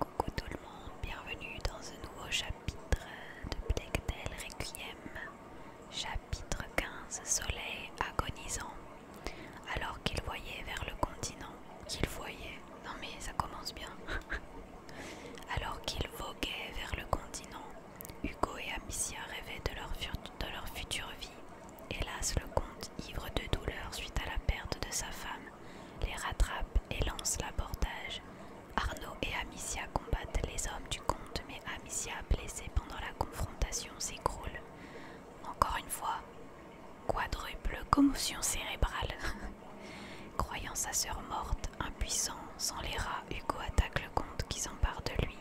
Coucou tout le monde, bienvenue dans un nouveau chapitre de Blechtel Requiem, chapitre 15 Soleil agonisant. Alors qu'il voyait vers le continent, qu'il voyait, non mais ça commence bien. Alors qu'ils voguaient vers le continent, Hugo et Amicia rêvaient de leur future vie Hélas, le comte, ivre de douleur suite à la perte de sa femme, les rattrape et lance l'abordage. Arnaud et Amicia combattent les hommes du comte, mais Amicia, blessée pendant la confrontation, s'écroule. Encore une fois, quadruple commotion cérébrale. Croyant sa sœur morte, impuissant, sans les rats, Hugo attaque le comte qui s'empare de lui.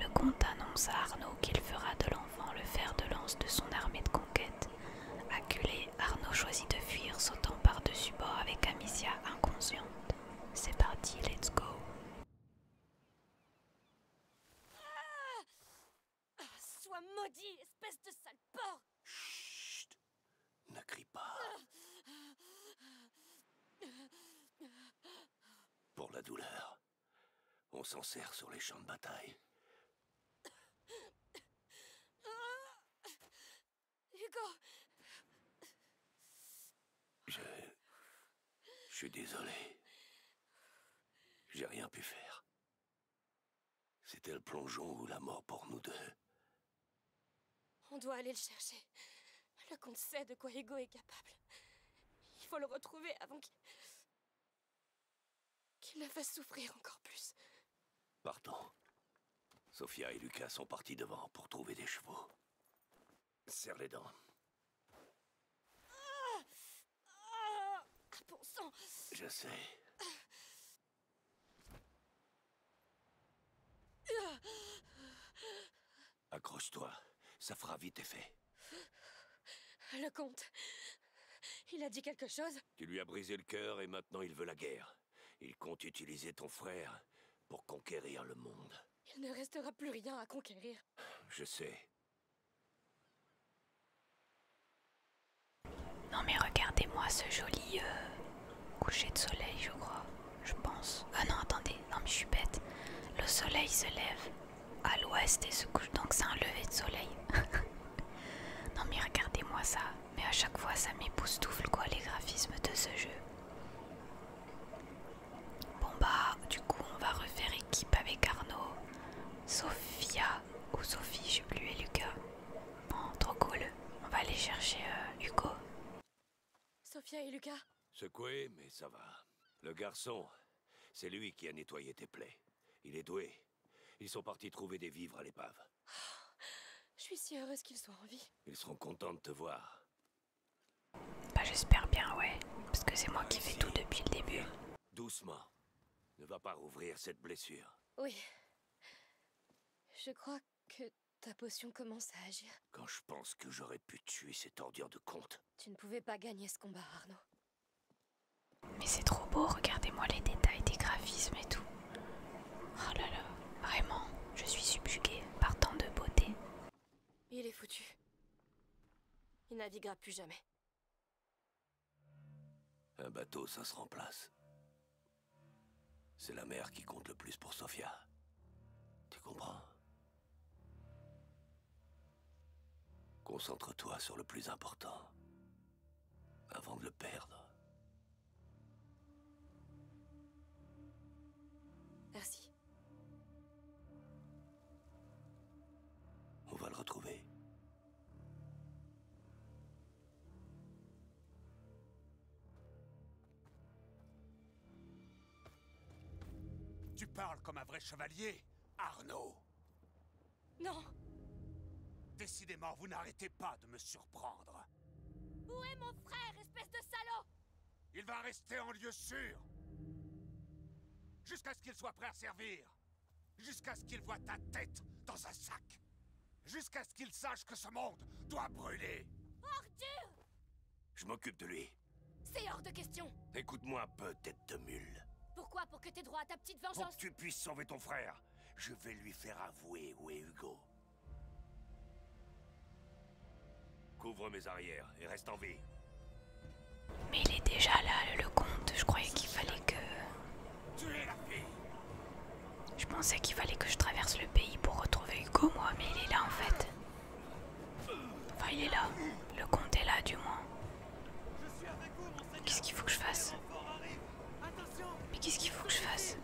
Le comte annonce à Arnaud qu'il fera de l'enfant le fer de lance de son armée de conquête. Acculé, Arnaud choisit de fuir, sautant par-dessus bord avec Amicia inconsciente. C'est parti, let's go. Ah, ah, sois maudit, espèce de sale porc Chut Ne crie pas. Ah, Pour la douleur. On s'en sert sur les champs de bataille. Hugo Je... Je suis désolé. J'ai rien pu faire. C'était le plongeon ou la mort pour nous deux. On doit aller le chercher. Le comte sait de quoi Hugo est capable. Il faut le retrouver avant qu'il... Qu'il la fait souffrir encore plus. Partons. Sophia et Lucas sont partis devant pour trouver des chevaux. Serre les dents. Ah, Je sais. Ah. Accroche-toi, ça fera vite effet. Le comte. Il a dit quelque chose Tu lui as brisé le cœur et maintenant il veut la guerre. Il compte utiliser ton frère pour conquérir le monde. Il ne restera plus rien à conquérir. Je sais. Non mais regardez-moi ce joli euh, coucher de soleil, je crois. Je pense. Ah non, attendez. Non mais je suis bête. Le soleil se lève à l'ouest et se couche donc c'est un lever de soleil. non mais regardez-moi ça, mais à chaque fois ça m'époustoufle quoi les graphismes de ce jeu. Bon bah du coup on va refaire équipe avec Arnaud, Sophia ou Sophie, j'ai plus et Lucas. Bon, trop cool, on va aller chercher euh, Hugo. Sophia et Lucas Secoué mais ça va. Le garçon, c'est lui qui a nettoyé tes plaies. Il est doué. Ils sont partis trouver des vivres à l'épave. je suis si heureuse qu'ils soient en vie. Ils seront contents de te voir. Bah, j'espère bien, ouais. Parce que c'est moi qui fais tout depuis le début. Doucement. Ne va pas rouvrir cette blessure. Oui. Je crois que ta potion commence à agir. Quand je pense que j'aurais pu tuer cette ordure de comte. Tu ne pouvais pas gagner ce combat, Arnaud. Mais c'est trop beau, regardez-moi les détails des graphismes et tout. Oh là là, vraiment, je suis subjuguée par tant de beauté. Il est foutu. Il naviguera plus jamais. Un bateau, ça se remplace. C'est la mer qui compte le plus pour Sofia. Tu comprends Concentre-toi sur le plus important avant de le perdre. Merci. On va le retrouver. Tu parles comme un vrai chevalier, Arnaud. Non Décidément, vous n'arrêtez pas de me surprendre. Où est mon frère, espèce de salaud Il va rester en lieu sûr Jusqu'à ce qu'il soit prêt à servir Jusqu'à ce qu'il voit ta tête dans un sac Jusqu'à ce qu'il sache que ce monde doit brûler Ordu Je m'occupe de lui. C'est hors de question Écoute-moi un peu, de mule. Pourquoi Pour que aies droit à ta petite vengeance Pour que tu puisses sauver ton frère Je vais lui faire avouer où est Hugo. Couvre mes arrières et reste en vie. Mais il est déjà là, le comte. Je croyais qu'il fallait que... Je pensais qu'il fallait que je traverse le pays pour retrouver Hugo, moi, mais il est là en fait. Enfin, il est là. Le comte est là, du moins. Qu'est-ce qu'il faut que je fasse Mais qu'est-ce qu'il faut que je fasse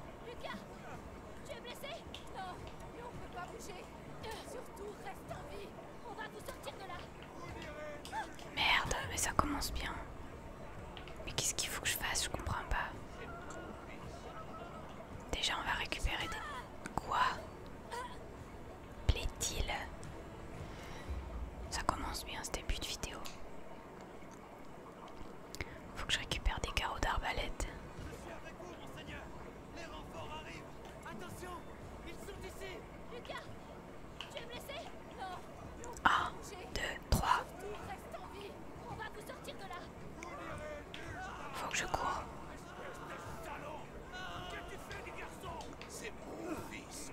Merde, mais ça commence bien. Mais qu'est-ce qu'il faut que je fasse Je comprends pas. Déjà, on va récupérer des... Quoi Plaît-il ça commence bien ce début de vidéo. Faut que je récupère des carreaux d'arbalète. Je suis avec vous, monseigneur. Les renforts arrivent. Attention, ils sont ici. Lucas, tu es blessé Non. 1, 2, 3. Reste en vie. On va vous sortir de là. Faut que je cours. Qu'est-ce que tu fais, les garçons C'est mon fils.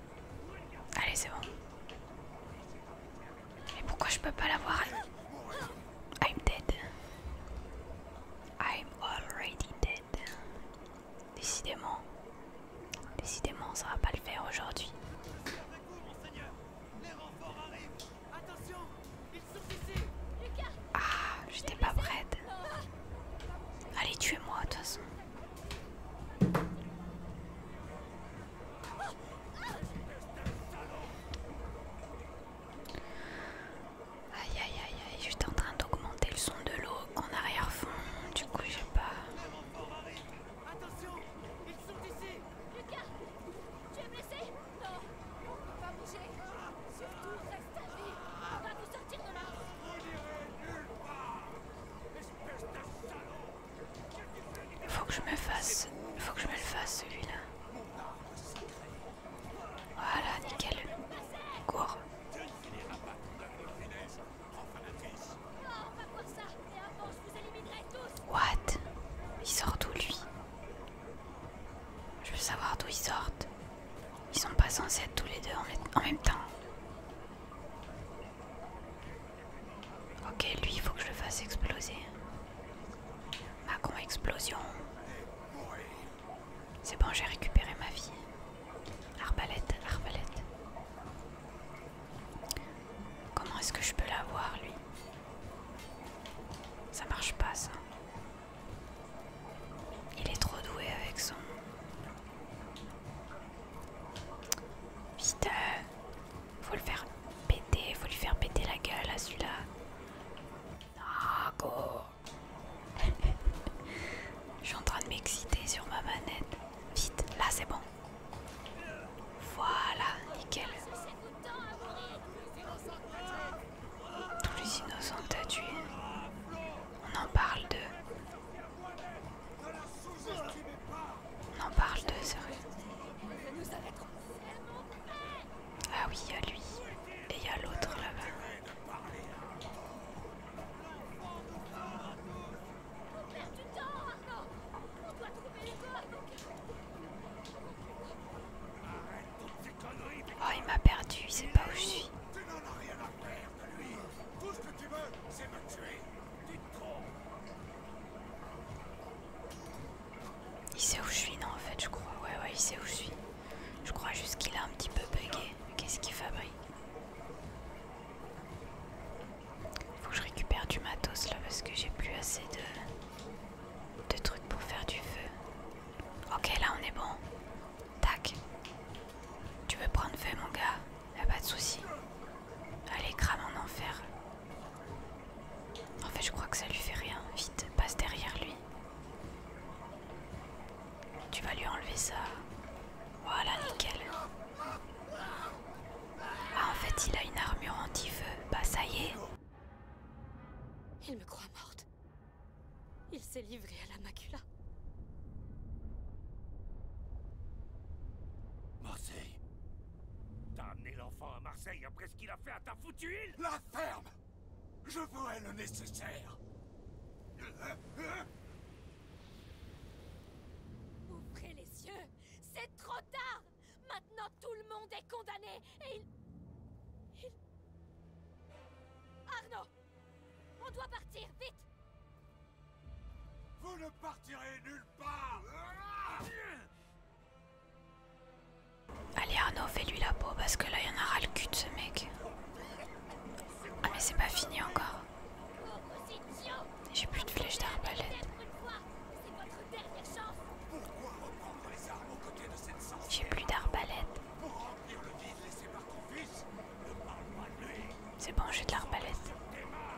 Allez, c'est bon. Mais pourquoi je peux pas l'avoir I'm dead. I'm already dead. Décidément. Décidément, ça va pas le faire aujourd'hui. Ah, j'étais pas prête. Allez, tuez-moi de toute façon. Espèce d'un salon Aïe aïe aïe aïe, j'étais en train d'augmenter le son de l'eau en arrière-fond, du coup j'ai pas... Attention, ils sont ici Lucas, tu es blessé Non, on peut pas bouger Surtout, reste à vie On va nous sortir de là On irait nulle part Espèce d'un salon faut que je me fasse. Faut que je me le fasse celui-là. Voilà, nickel. Cours. What Il sort d'où lui Je veux savoir d'où ils sortent. Ils sont pas censés être tous les deux en même temps. Ok, lui, il faut que je le fasse exploser. Macron explosion. C'est bon, j'ai récupéré ma vie. Arbalète, arbalète. Comment est-ce que je peux l'avoir, lui Ça marche pas, ça. Il est trop doué avec son... Vite euh, faut le faire péter, faut lui faire péter la gueule à celui-là. Ah, go Je suis en train de m'exciter sur ma manette. Vite, là c'est bon. Voilà, nickel. Tous les innocents à On en parle d'eux. On en parle de sérieux. Ah oui, il y a lui et il y a l'autre là-bas. Oh, il m'a perdu, il sait pas où je suis. Tu Tout ce que tu veux, c'est me tuer. Il sait où je suis, non en fait je crois. Ouais ouais il sait où je suis. Je crois juste qu'il a un petit peu bugué. Qu'est-ce qu'il fabrique Faut que je récupère du matos là parce que j'ai plus assez de... de trucs pour faire du feu. Ok là on est bon. Tac. Tu veux prendre feu mon gars la pas de souci. Allez, crame en enfer. En fait, je crois que ça lui fait rien. Vite, passe derrière lui. Tu vas lui enlever ça. Voilà, nickel. Ah, en fait, il a une armure anti-feu. Bah, ça y est. Il me croit morte. Il s'est livré à la macula. Marseille, T'as amené l'enfant à Marseille après ce qu'il a fait à ta foutue île La ferme Je ferai le nécessaire Ouvrez les yeux C'est trop tard Maintenant tout le monde est condamné et il... il... Arnaud On doit partir, vite vous ne partirez nulle part Allez Arnaud, fais-lui la peau parce que là il y en aura le cul de ce mec. Ah mais c'est pas fini encore. J'ai plus de flèches d'arbalète. J'ai plus d'arbalète. C'est bon, j'ai de l'arbalète.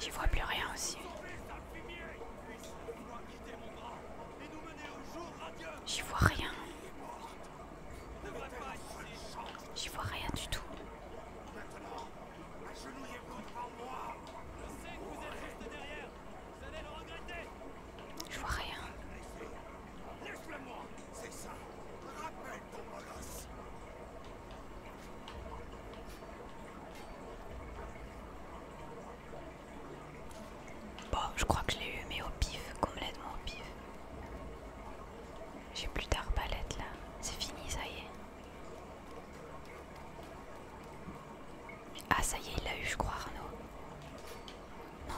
J'y vois plus rien aussi. J'y vois rien. J'y vois rien du tout. Maintenant, la agenouillez-vous devant moi. Je sais que vous êtes juste derrière. Je vois rien. Bon, je crois que je l'ai eu, mais au pif, complètement au pif. J'ai plus d'arbalète là, c'est fini, ça y est. Ah ça y est, il l'a eu je crois Arnaud. Non.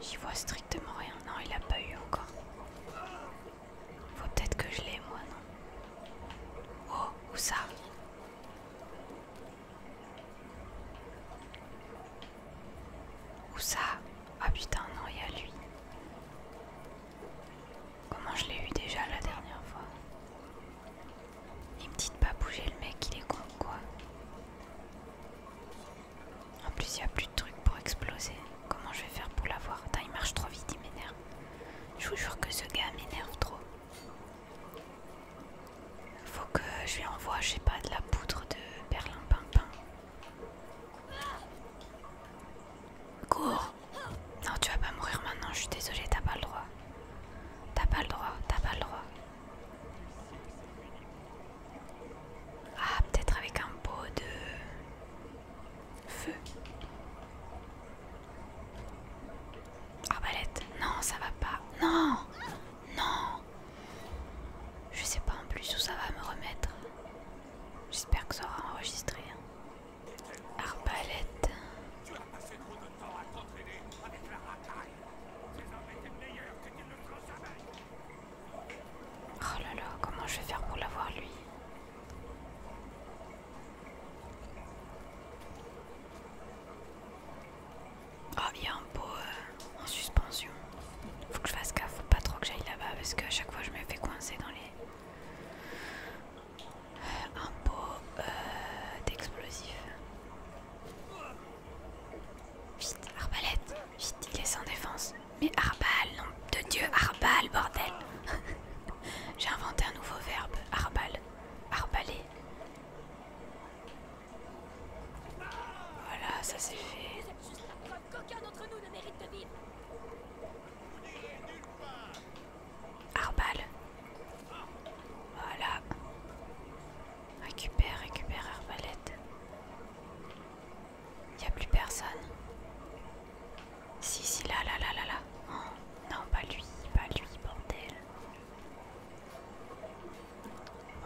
J'y vois strictement rien. Non, il l'a pas eu encore. Faut peut-être que je l'ai moi, non Oh, où ça Où ça Ah putain, non, il y a lui. Comment je l'ai eu déjà la dernière fois il me dit de pas bouger le mec, il est con quoi. En plus, il n'y a plus de trucs pour exploser. Comment je vais faire pour l'avoir Attends, il marche trop vite, il m'énerve. Je vous jure que ce gars m'énerve trop. Faut que je lui envoie, je sais pas, de la poudre de perlimpinpin. Cours Non, tu vas pas mourir maintenant, je suis désolée, t'as pas le droit. T'as pas le droit, t'as pas le droit. Ah, peut-être avec un pot de feu. Arbalète, non, ça va pas. Non, non. Je sais pas en plus où ça va me remettre. J'espère que ça aura enregistré. Hein. Arbalète. Oh là là, comment je vais faire pour l'avoir lui Oh, il y a un pot euh, en suspension. Faut que je fasse gaffe, faut pas trop que j'aille là-bas parce qu'à chaque fois je me fais coincer dans les un pot euh, d'explosifs. Vite, arbalète, vite, il est sans défense. Mais arbal, nom de Dieu, arbal, bordel J'ai inventé un nouveau verbe, arbal, arbaler. Voilà, ça c'est fait. Arbal. Voilà. Récupère, récupère Arbalète. Y'a a plus personne. Si, si, là, là, là, là, là. Oh, non, pas lui, pas lui, bordel.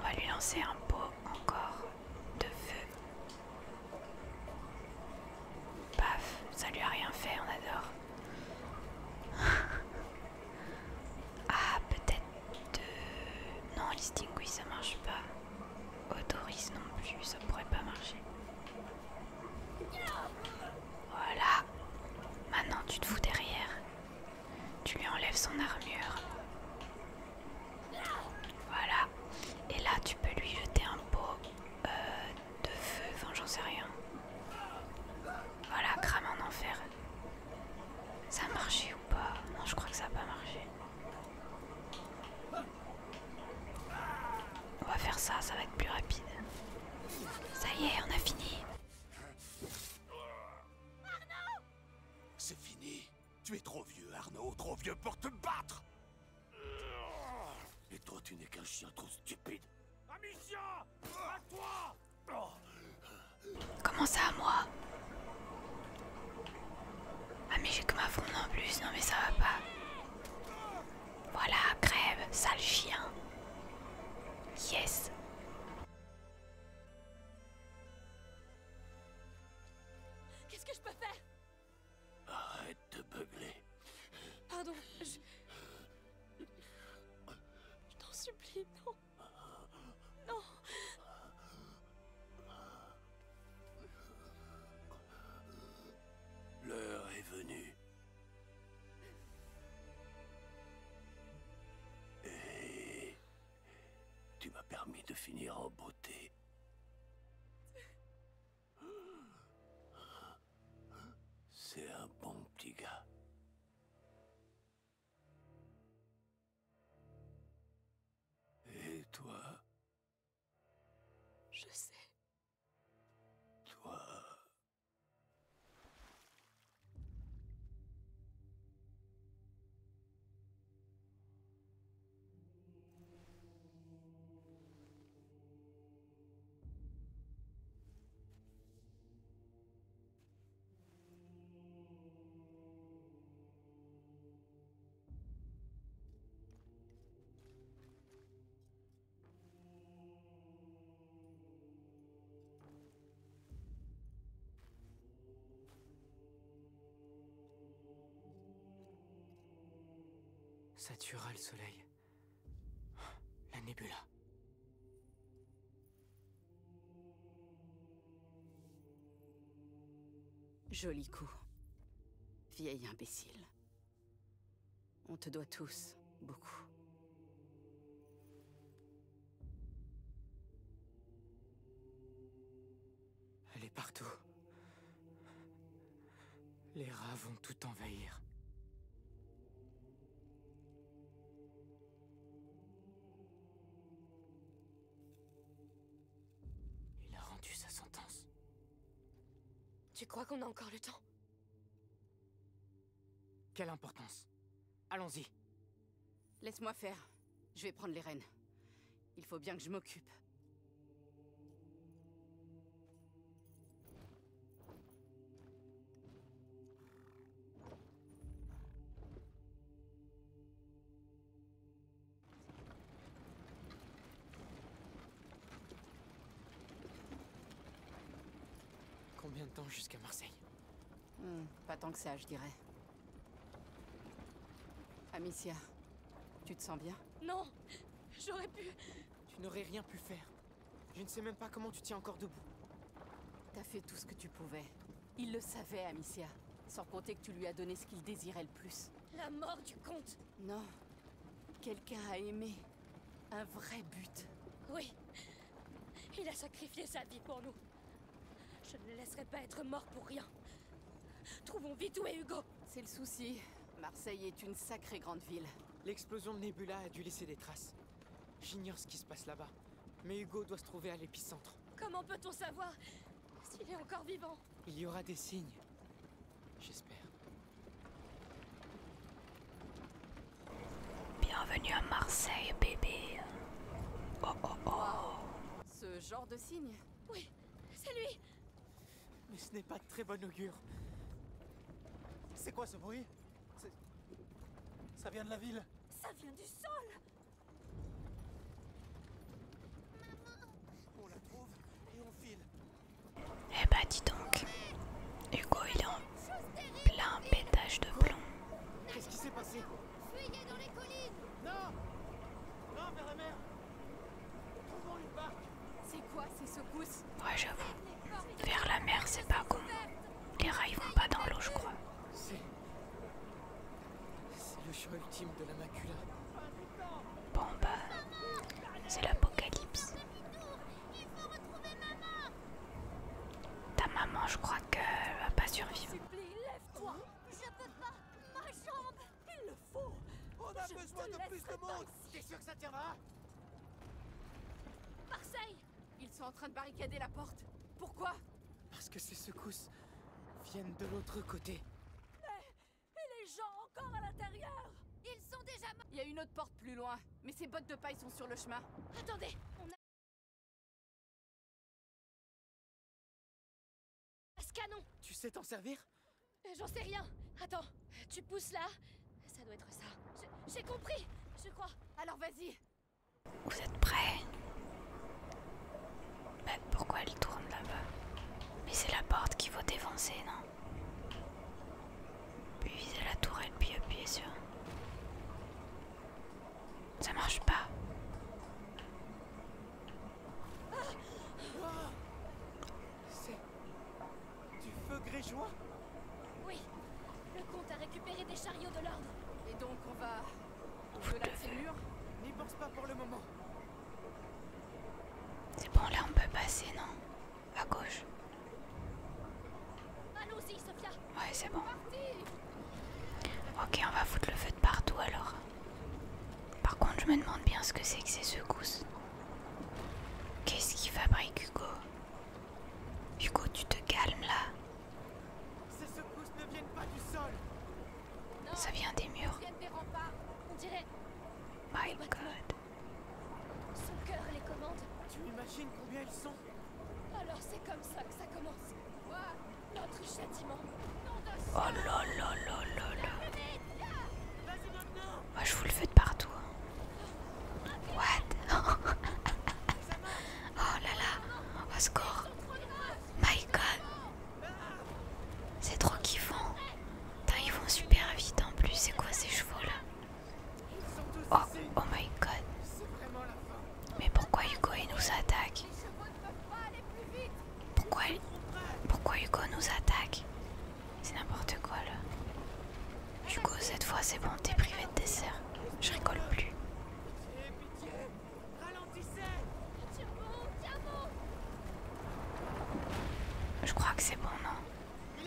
On va lui lancer un pot encore de feu. Paf, ça lui a rien fait, on adore ah, peut-être. De... Non, listing, oui, ça marche pas. Autorise non plus, ça pourrait pas marcher. Voilà. Maintenant, tu te fous derrière. Tu lui enlèves son armure. Voilà. Et là, tu peux lui jeter un pot euh, de feu. Enfin, j'en sais rien. Voilà, crame en enfer. Ça a marché ou pas Non, je crois que ça n'a pas marché. On va faire ça, ça va être plus rapide. Ça y est, on a fini. C'est fini. Tu es trop vieux, Arnaud, trop vieux pour te battre. Et toi, tu n'es qu'un chien trop stupide. Amicia À toi Comment ça, moi Ah, mais j'ai que ma fronde en plus, non mais ça va pas. Voilà, crève, sale chien. Yes. Qu'est-ce que je peux faire Arrête de beugler. Pardon, je... Je t'en supplie, non. Non. L'heure est venue. Et tu m'as permis de finir en beauté. C'est un bon petit gars. Et toi Je sais. Toi Satura le soleil. La nébula. Joli coup. Vieille imbécile. On te doit tous, beaucoup. Elle est partout. Les rats vont tout envahir. Il a rendu sa sentence. Tu crois qu'on a encore le temps Quelle importance Allons-y. Laisse-moi faire. Je vais prendre les rênes. Il faut bien que je m'occupe. Combien de temps jusqu'à Marseille hmm, Pas tant que ça, je dirais. Amicia, tu te sens bien Non J'aurais pu... Tu n'aurais rien pu faire. Je ne sais même pas comment tu tiens encore debout. T'as fait tout ce que tu pouvais. Il le savait, Amicia. Sans compter que tu lui as donné ce qu'il désirait le plus. La mort du comte Non. Quelqu'un a aimé. Un vrai but. Oui. Il a sacrifié sa vie pour nous. Je ne le laisserai pas être mort pour rien. Trouvons vite où est Hugo C'est le souci. Marseille est une sacrée grande ville. L'explosion de Nebula a dû laisser des traces. J'ignore ce qui se passe là-bas, mais Hugo doit se trouver à l'épicentre. Comment peut-on savoir s'il est encore vivant Il y aura des signes. J'espère. Bienvenue à Marseille, bébé. Oh, oh, oh. Ce genre de signe Oui, c'est lui. Mais ce n'est pas de très bon augure. C'est quoi ce bruit ça vient de la ville Ça vient du sol On la trouve et on file Eh bah dis donc Hugo il est en plein pétage de plomb Qu'est-ce qui s'est passé Fuyez dans les collines Non Non vers la mer Trouvons une barque C'est quoi ces secousses Ouais, j'avoue. Vers la mer, c'est pas con. Les rails vont pas dans l'eau, je crois. C'est le chemin ultime de la macula. Bon, bah, c'est l'apocalypse. Ta maman, je crois qu'elle va pas survivre. Lève-toi Je peux pas Ma jambe Il le faut On a besoin de plus de monde T'es sûr que ça tiendra Marseille ils sont en train de barricader la porte. Pourquoi Parce que ces secousses viennent de l'autre côté. Mais... Et les gens encore à l'intérieur Ils sont déjà morts Il y a une autre porte plus loin, mais ces bottes de paille sont sur le chemin. Attendez On a... Ce canon Tu sais t'en servir euh, J'en sais rien Attends, tu pousses là Ça doit être ça. J'ai compris, je crois. Alors vas-y, vous êtes prêts Mais bah, pourquoi elle tourne là-bas Mais c'est la porte qui faut défoncer, non Puis viser la tourelle, puis appuyer sur. Ça marche pas. C'est du feu grégeois oui, le comte a récupéré des chariots de l'ordre. Et donc on va on de N'y pense pas pour le moment. C'est bon, là on peut passer, non À gauche. Allons-y, Ouais, c'est bon. Ok, on va foutre le feu de partout alors. Par contre, je me demande bien ce que c'est que ces secousses. Qu'est-ce qu'il fabrique Hugo Hugo, tu te calmes là. Ces secousses ne viennent pas du sol. Ça vient des murs. Son cœur les commande. Tu imagines combien ils sont Alors c'est comme ça que ça commence. Moi, notre châtiment. Oh là là là là là. Moi je vous le fais de partout. Hein. What Oh là là Au score. My god C'est trop kiffant Putain ils vont super vite en plus C'est quoi ces chevaux là Oh, oh my god Mais pourquoi Hugo nous attaque pourquoi, pourquoi Hugo nous attaque C'est n'importe quoi là. Du coup, cette fois c'est bon, t'es privé de dessert. Je rigole plus. Je crois que c'est bon, non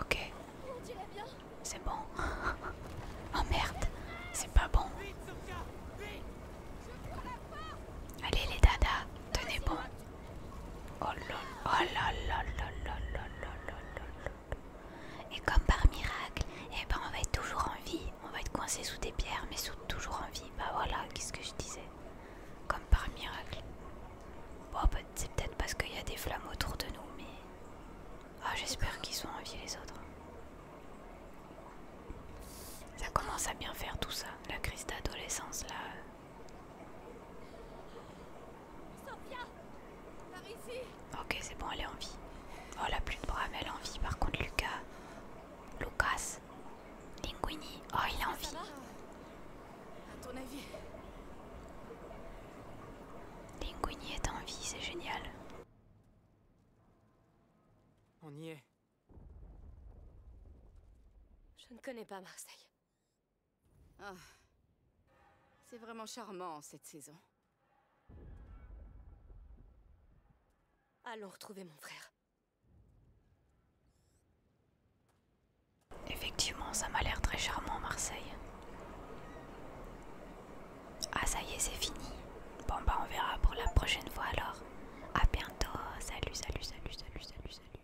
Ok. C'est bon. oh merde, c'est pas bon. Allez les dadas, tenez bon. Oh là Et comme par miracle, eh ben on va être toujours en vie. On va être coincé sous des pierres, mais toujours en vie. Bah voilà, qu'est-ce que je disais Comme par miracle. Bon, bah, c'est peut-être parce qu'il y a des flammes autour de nous, mais. Ah, j'espère qu'ils sont en vie les autres. Ça commence à bien faire tout ça, la crise d'adolescence là. Ok, c'est bon, elle est en vie. Oh, la plus de bras, elle est en vie. Par contre, Lucas, Lucas, Linguini, oh, il est en vie. Linguini est en vie, c'est génial. On y est. Je ne connais pas Marseille. Ah. C'est vraiment charmant, cette saison. Allons retrouver mon frère. Effectivement, ça m'a l'air très charmant, Marseille. Ah, ça y est, c'est fini. Bon, bah, on verra pour la prochaine fois alors. À bientôt. Salut, salut, salut, salut, salut, salut.